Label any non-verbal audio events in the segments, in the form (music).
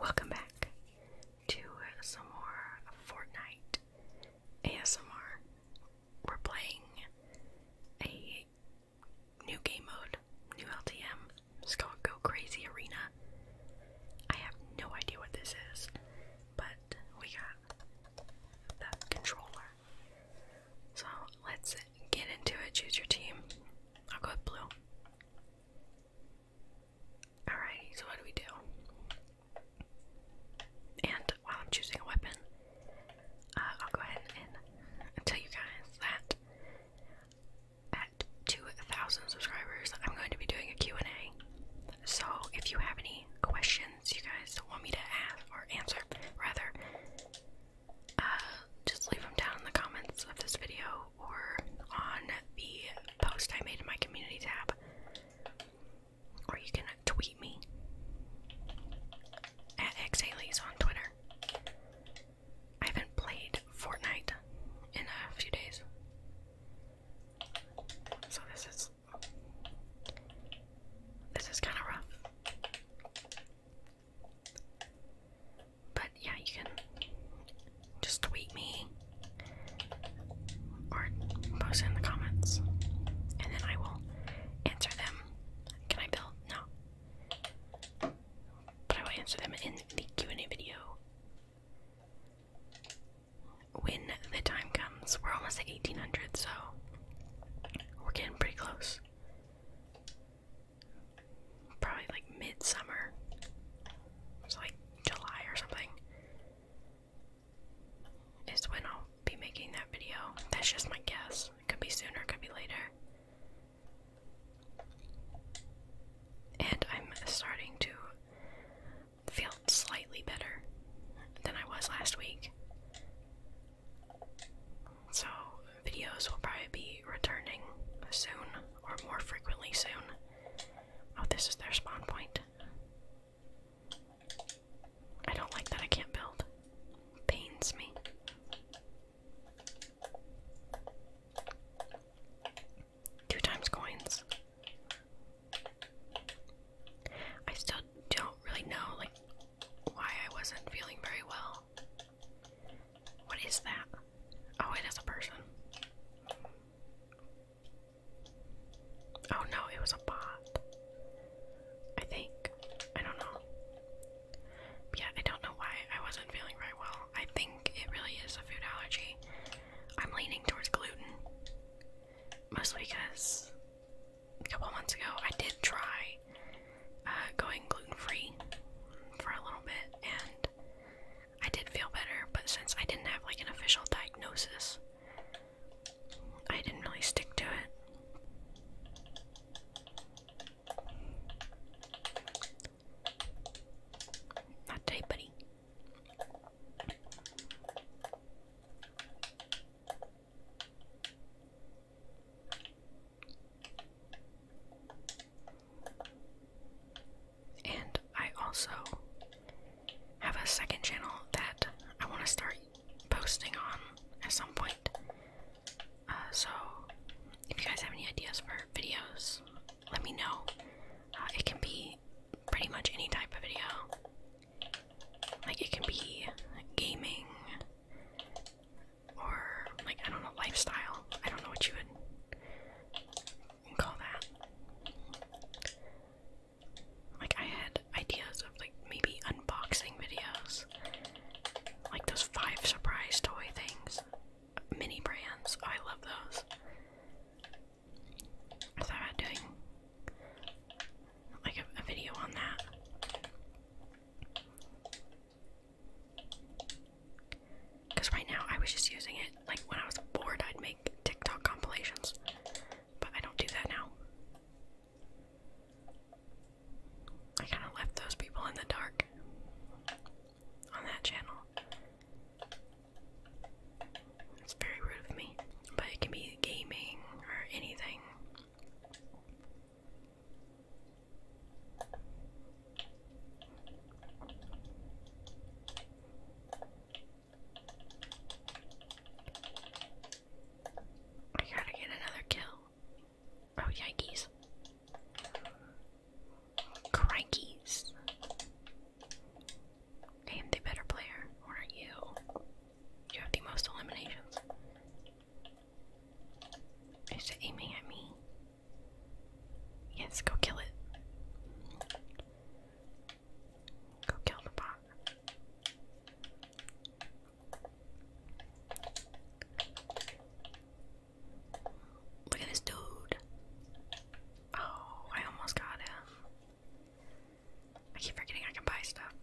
Welcome back to some more Fortnite ASMR. We're playing a new game mode, new LTM. It's called Go Crazy Arena. I have no idea what this is, but we got the controller. So let's get into it. Choose your team. I'll go with blue. Alrighty, so what do we do? And while I'm choosing a weapon, uh, I'll go ahead and tell you guys that at 2,000 subscribers, I'm going to be doing a and a So if you have any questions you guys want me to ask or answer, rather, uh, just leave them down in the comments of this video or on the post I made in my community tab, or you can tweet me at xalies on Twitter. I haven't played Fortnite in a few days, so this is this is kind of rough. But yeah, you can just tweet me or post it in the comments, and then I will answer them. Can I build? No. But I will answer them in the Q&A video. When the time comes, we're almost at 1800, so we're getting pretty close probably like midsummer. It's like July or something. Is when I'll be making that video. That's just my guess. It could be sooner, it could be later. And I'm starting to feel slightly better than I was last week. So, videos will probably be returning soon or more frequently soon. Oh, this is their spawn point. I don't like that I can't build. Pains me. Two times coins. I still don't really know like why I wasn't feeling very well. What is that? Oh, it is a person. Oh no, it was a bot. I think. I don't know. Yeah, I don't know why I wasn't feeling very well. I think it really is a food allergy. I'm leaning towards gluten. Mostly because a couple months ago I did try uh, going gluten free for a little bit and I did feel better, but since I didn't have like an official diagnosis, I didn't really stick to it. Not today, buddy. And I also have a second channel that I want to start posting on at some point. Uh, so, if you guys have any ideas for videos, let me know. Uh, it can be pretty much any type of video. Like, it can be gaming, or, like, I don't know, lifestyle. I don't know what you would call that. Like I had ideas of like maybe unboxing videos. Like those five surprise toy things. Mini brands. Oh, I love those. I thought about doing like a video on that. Because right now I was just using it, like when I was bored, I'd make TikTok compilations. But I don't do that now. I kind of left those people in the dark on that channel. It's very rude of me, but it can be gaming or anything. I gotta get another kill. Oh, yikes. Crankies. am the better player. What are you? You have the most eliminations. Is aiming at me? Yes, go kill it. Go kill the bot. Look at this dude. Oh, I almost got him. I keep forgetting I can buy stuff.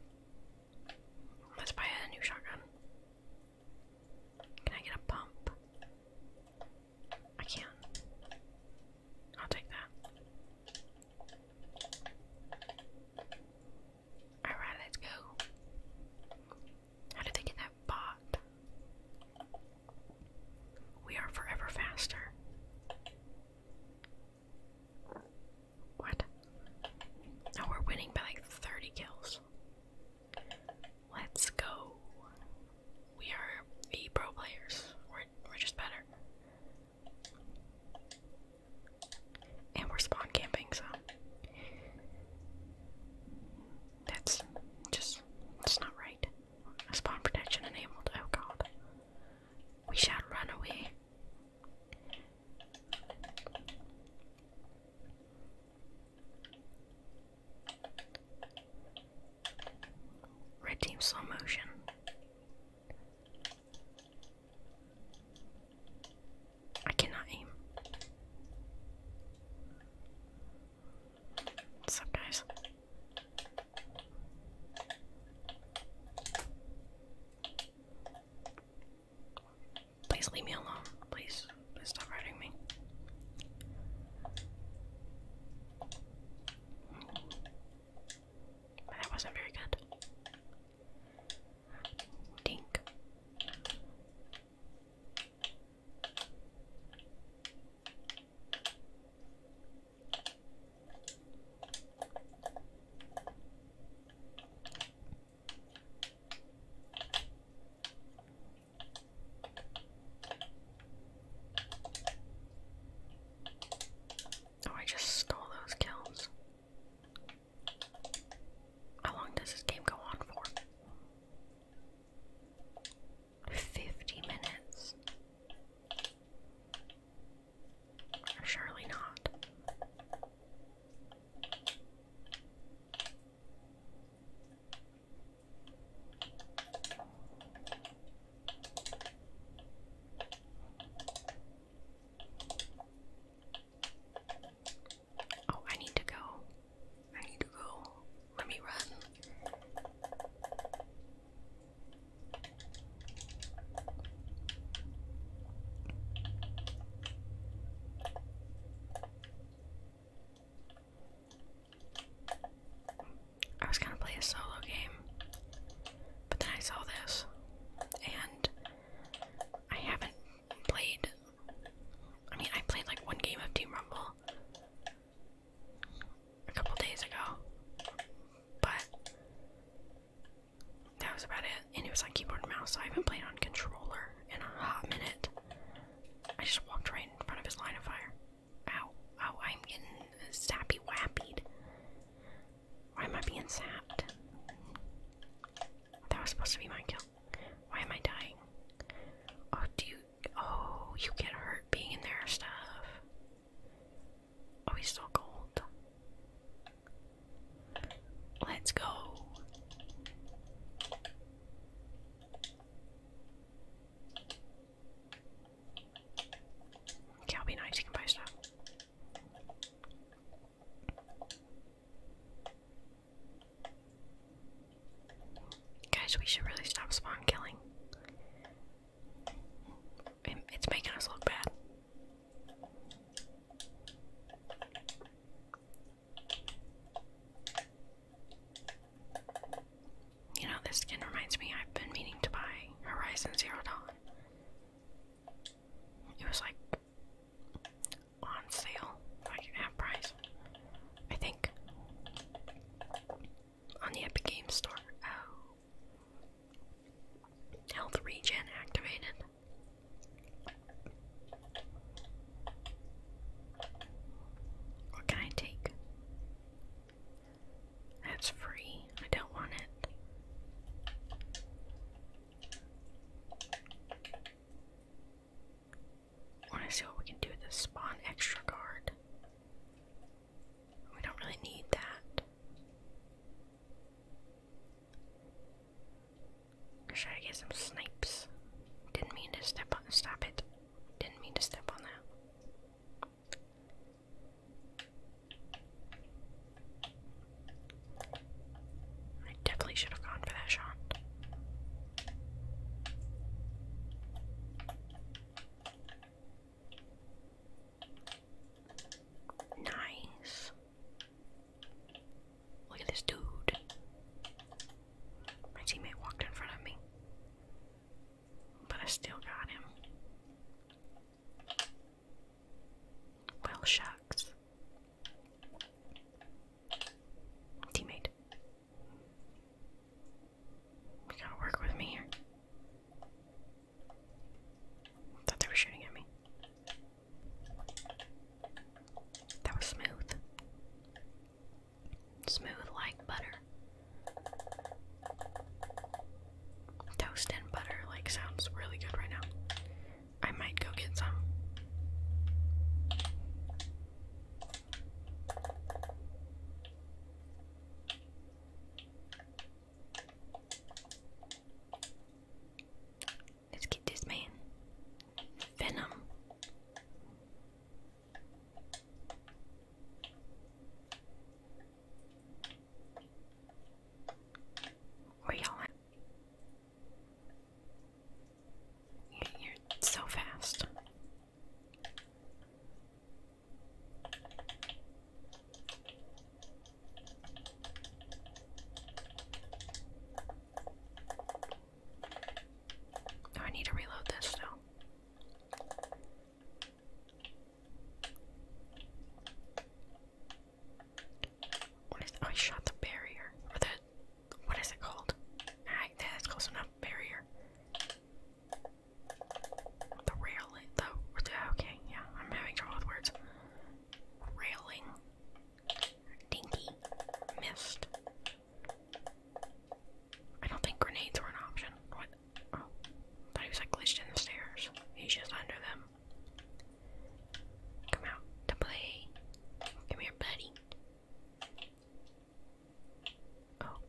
Let's buy a new shotgun. Can I get a pump? I can. I'll take that. Alright, let's go. How did they get that bot? We are forever faster. What? Now we're winning by like 30 kills. Let's go. We are the pro players. We're we're just better. And we're spawn camping, so that's just it's not right. Spawn protection enabled. Oh god. We shall run away. Red team slow motion. I cannot aim. What's up, guys? Please leave me alone, please stop hurting me. That wasn't very good. Dink. Oh, I just stole those kills. How long does this game go on for? 50 minutes. Surely not. Oh, I need to go. I need to go. Let me run. I was gonna play a solo game, but then I saw this, and I haven't played. I mean, I played like one game of Team Rumble a couple days ago, but that was about it. And it was on keyboard mouse, so I haven't played on controller in a hot minute. I just walked right in front of his line of fire. Ow. Ow, I'm getting sappy wappied. Why am I being sapped? That was supposed to be my kill. Why am I dying? Oh, do you. Oh, you get hurt being in their stuff. Oh, he's still gold. Let's go. Okay, I'll be nice, you can buy stuff. Guys, we should really stop spawn killing. It's making us look bad. You know, this skin reminds me I've been meaning to buy Horizon Zero Dawn. It was like on sale, like half price. I think on the Epic Games Store. Oh. Health regen activated. What can I take? That's free. I don't want it. want to see what we can do this spawn extra guard. We don't really need that. Let's try to get some snipes. Didn't mean to step on stop it. Didn't mean to step on that. I definitely should have gone for that shot. Nice. Look at this dude. My teammate walked in front of me. But I still got him. Well, shucks. Teammate. You gotta work with me here. Thought they were shooting at me. That was smooth. Smooth like butter. Toast and butter, like, sounds really good right now. I might go get some. Let's get this man. Venom. Where y'all at? You're so fast. I need to reload this though. What is? Oh, I shot the barrier. Or the what is it called? Alright, ah, that's close enough. Barrier. The railing. The okay, yeah. I'm having trouble with words. Railing. Dinky. Mist. I don't think grenades were an option. What? Oh, thought was like glitched in the stairs. He's just under them. Come out to play. Come here, buddy. Oh.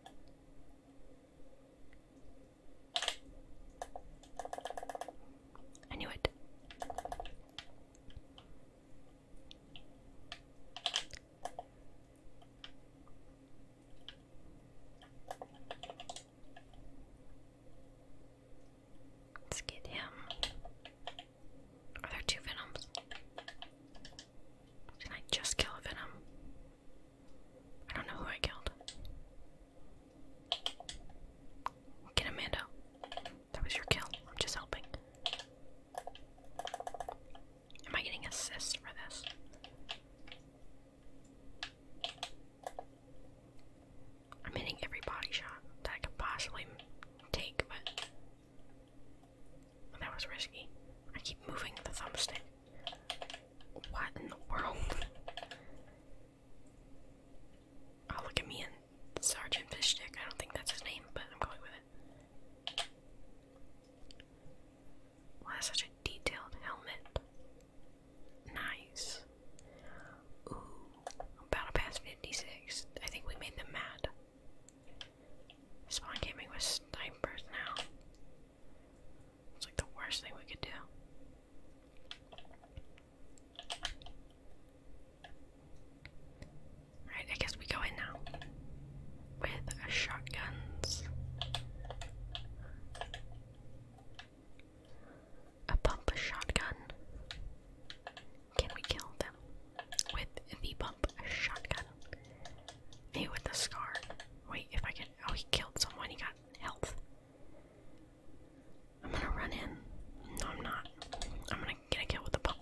I knew it. Let's get him. Are there two Venoms? Did I just kill a Venom? I don't know who I killed. Get Amanda. That was your kill. I'm just helping. Am I getting assists for this? I'm hitting every body shot that I could possibly take, but that was risky. I keep moving the thumbstick. What in the world? (laughs) Oh, look at me and Sergeant Fishstick. I don't think that's his name, but I'm going with it. Why well, such a detailed helmet? Nice. Ooh, battle pass 56. I think we made them mad. Spawn camping with snipers now. It's like the worst thing we could do. Right, I guess we go in now with shotguns. A pump shotgun. Can we kill them with the pump shotgun? Hey, with the scar. Wait, if I get Oh, he killed someone. He got health. I'm gonna run in. No, I'm not. I'm gonna Get a kill with the pump.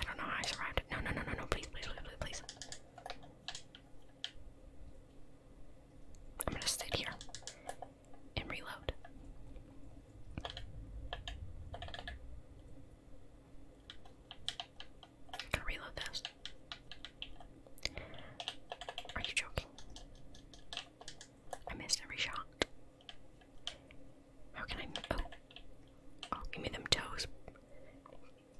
I don't know how I survived No, no, no, no, no, please, please, please, please. I'm gonna sit here and reload reload this? Are you joking? I missed every shot. How can I? Oh. oh, give me them toes.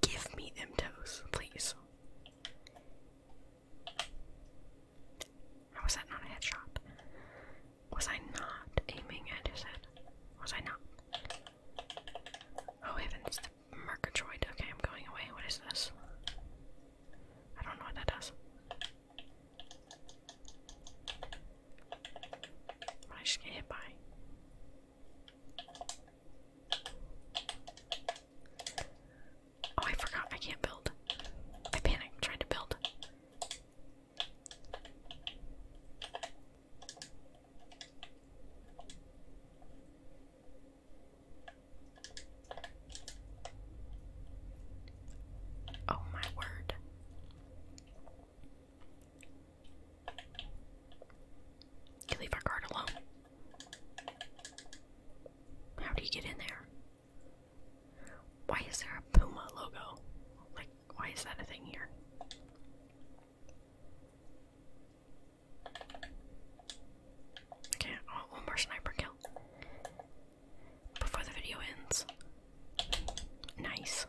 Give me them toes, please. How is that not a headshot? Was I not aiming at his head? Was I not? Oh heavens, the Murgatroyd. Okay, I'm going away. What is this? I don't know what that does. But I just get hit by. Oh, I forgot. I can't build. I panicked. Tried to build. Oh, my word. You leave our guard alone. How do you get in there? Why is there a Puma logo? Like, why is that a thing here? Okay, oh, one more sniper kill. Before the video ends. Nice.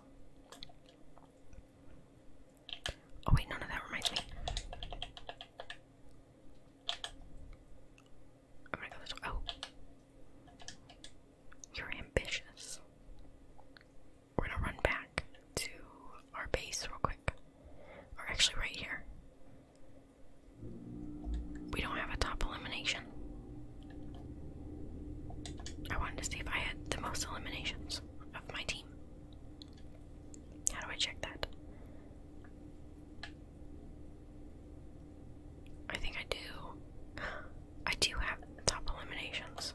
Oh wait, no, no, that reminds me. I'm gonna go this way. Oh, you're ambitious. We're gonna run back to our base real quick. Or actually, right here. We don't have a top elimination. I wanted to see if I had the most eliminations of my team. How do I check that? I think I do. (gasps) I do have top eliminations.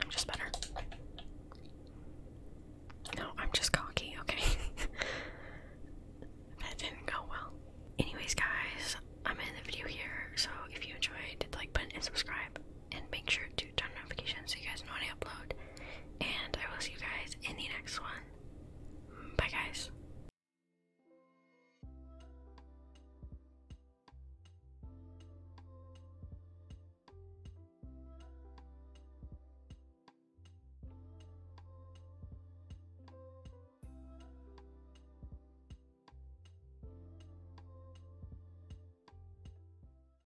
I'm just better. No, I'm just cocky, okay? (laughs) that didn't go well. Anyways, guys, I'm in the video here, so if you enjoyed, like button and subscribe and make sure to turn notifications so you guys know when I upload. And I will see you guys in the next one. Bye, guys.